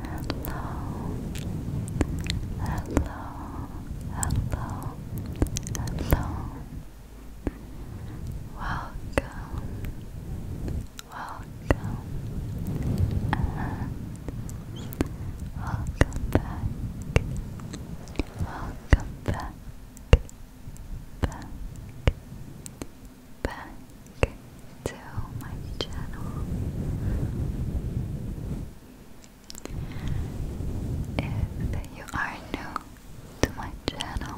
Hello, hello, hello, hello. Welcome, welcome, and welcome back, welcome back, back, back, back to my channel. If you are new to my channel,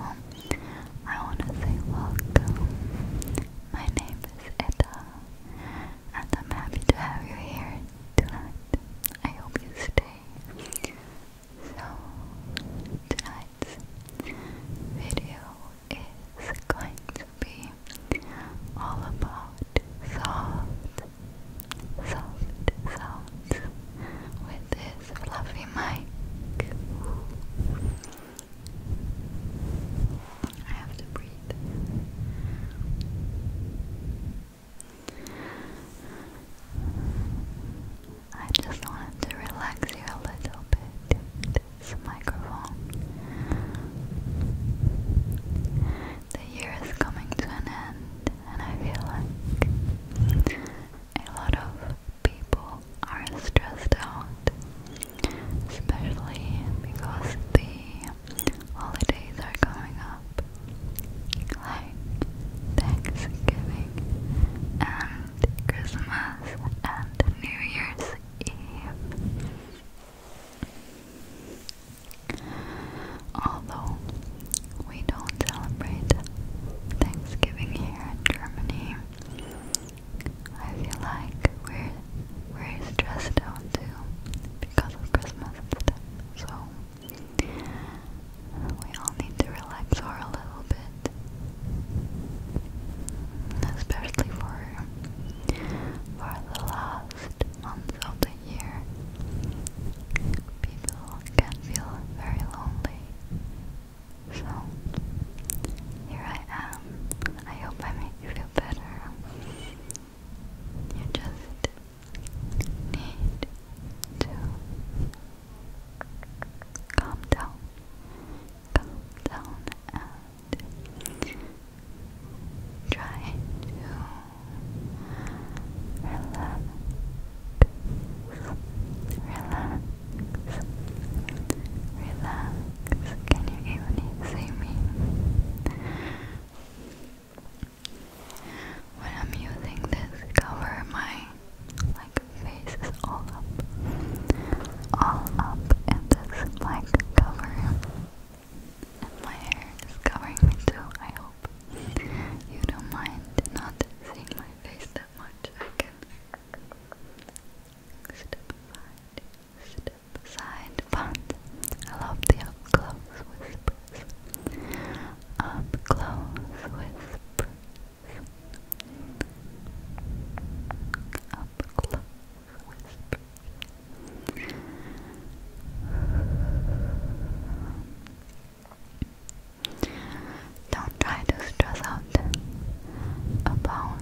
I want to say welcome. My name is Etta, and I'm happy to have you here tonight. I hope you stay. So, tonight video is going to be all about soft, soft sounds with this fluffy mic. I have to breathe. I just wanted to relax you a little bit the year is coming to an end, and I feel like a lot of people are stressed out, especially because the holidays are coming up, like Thanksgiving and Christmas and New Year's Eve. Although we don't celebrate Thanksgiving here in Germany, I feel like we're we're stressed out too because of Christmas So we all need to relax for a little bit especially for for the last months of the year. People can feel very lonely. So here I am. I hope I make you feel better. You just need to calm down calm down and try to relax, relax, relax. Can you even see me? When I'm using this cover, my like my face is all up, all up in this mic cover, and my hair is covering me too. I hope you don't mind not seeing my face that much. I can step aside, step aside, but I love the up close whispers. Up close whispers. Up Don't try to stress out about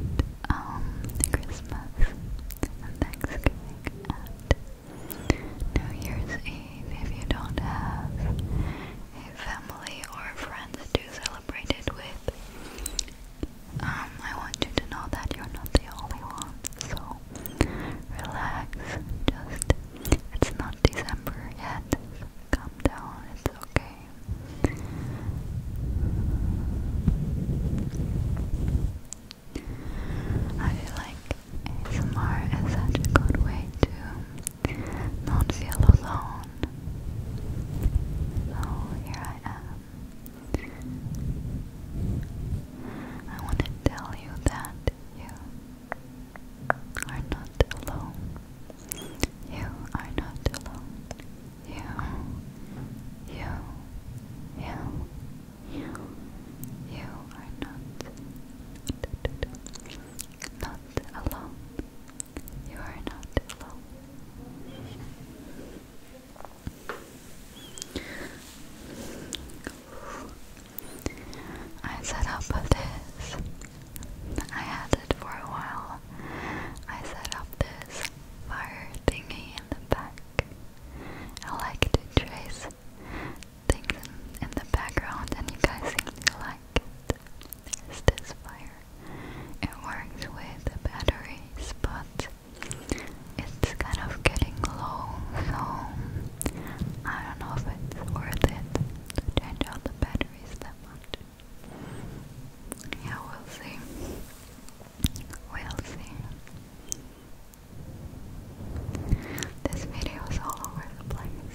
um, Christmas Thanksgiving and New Year's Eve if you don't have a family or friends celebrate it with. Um, I want you to know that you're not the only one, so relax. Just, it's not December yet. calm down, it's okay. I feel like ASMR is such a good way to don't feel alone. So here I am. I want to tell you that you are not alone. You are not alone. You, you, you, you, you are not, not alone. You are not alone. I set up this. I had it for a while. I set up this fire thingy in the back. I like to trace things in, the background and you guys seem to like it. Is this fire? It works with batteries, but it's kind of getting low, so I don't know if it's worth it change out the batteries that much. Yeah, we'll see. We'll see. This video is all over the place.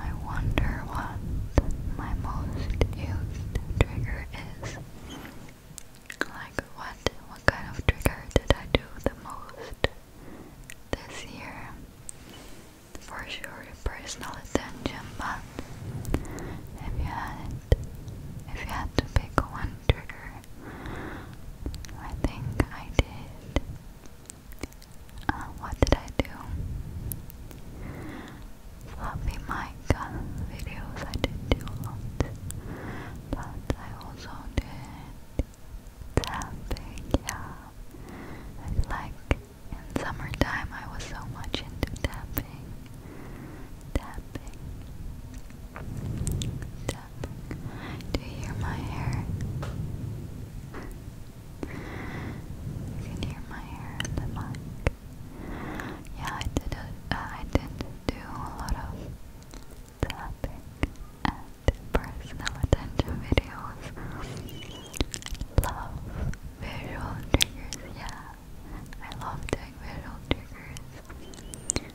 I wonder what my most used trigger is. Like what what kind of trigger did I do the most this year? For sure personal attention, but if you had if you had to pick one trigger I think I did uh, what did I do? Fluffy mic uh, videos I did do a lot, but I also did tapping, yeah. I like in summertime I was so much into tapping, tapping, tapping, do you hear my hair? You can hear my hair in the mic. Yeah, I did. A, uh, I did do a lot of tapping and personal videos. Love visual triggers. Yeah, I love doing visual triggers.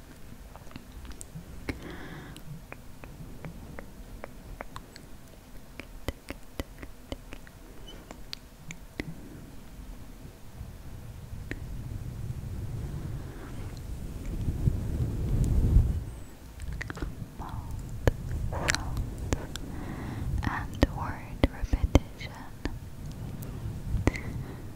Mouth sounds and word repetition.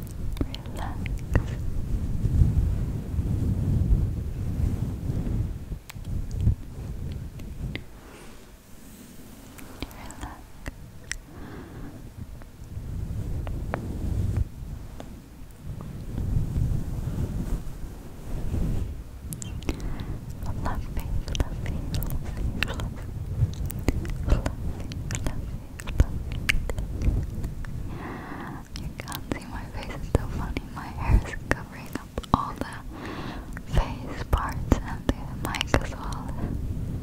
relax. Relax. Lovely, lovely, lovely, lovely, you can't see my face, it's so funny. My hair is covering up all the face parts and the mic as well.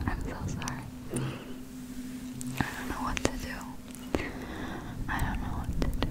I'm so sorry. I don't know what to do. I don't know what to do.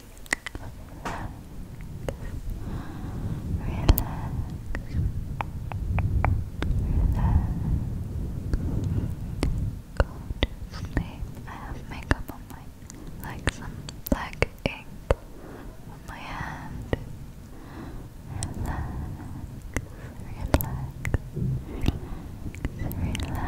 Go to sleep. I have makeup on my, like some black ink on my hand. relax, relax, relax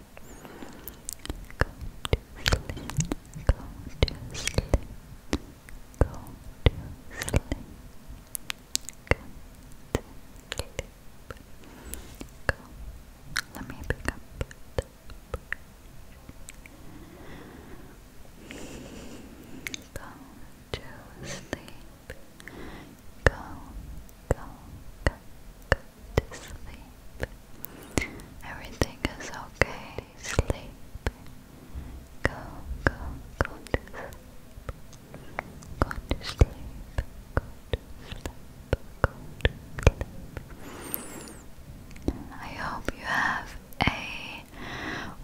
Go to sleep. Go to sleep. Go to sleep. Go to sleep. Go. Let me pick up Go to sleep. Go, go, go, go, to sleep. Everything is okay. Sleep. Go, go, go to sleep. Go to sleep. Go to sleep. Go to sleep. I hope you have a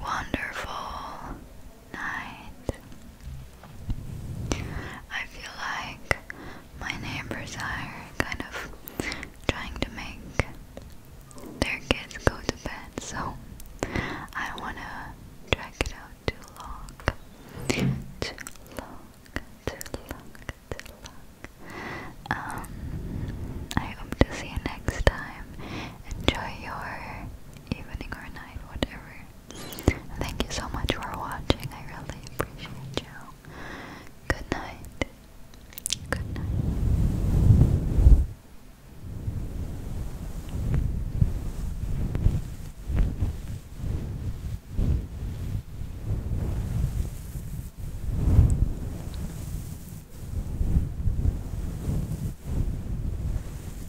wonderful night. I feel like my neighbors are kind of trying to make their kids go to bed, so I don't want to drag it out too long. Too long, too long, too long. Um, I hope to see you next time. Enjoy your evening or night, whatever Thank you so much for watching. I really appreciate you. Good night. Good night.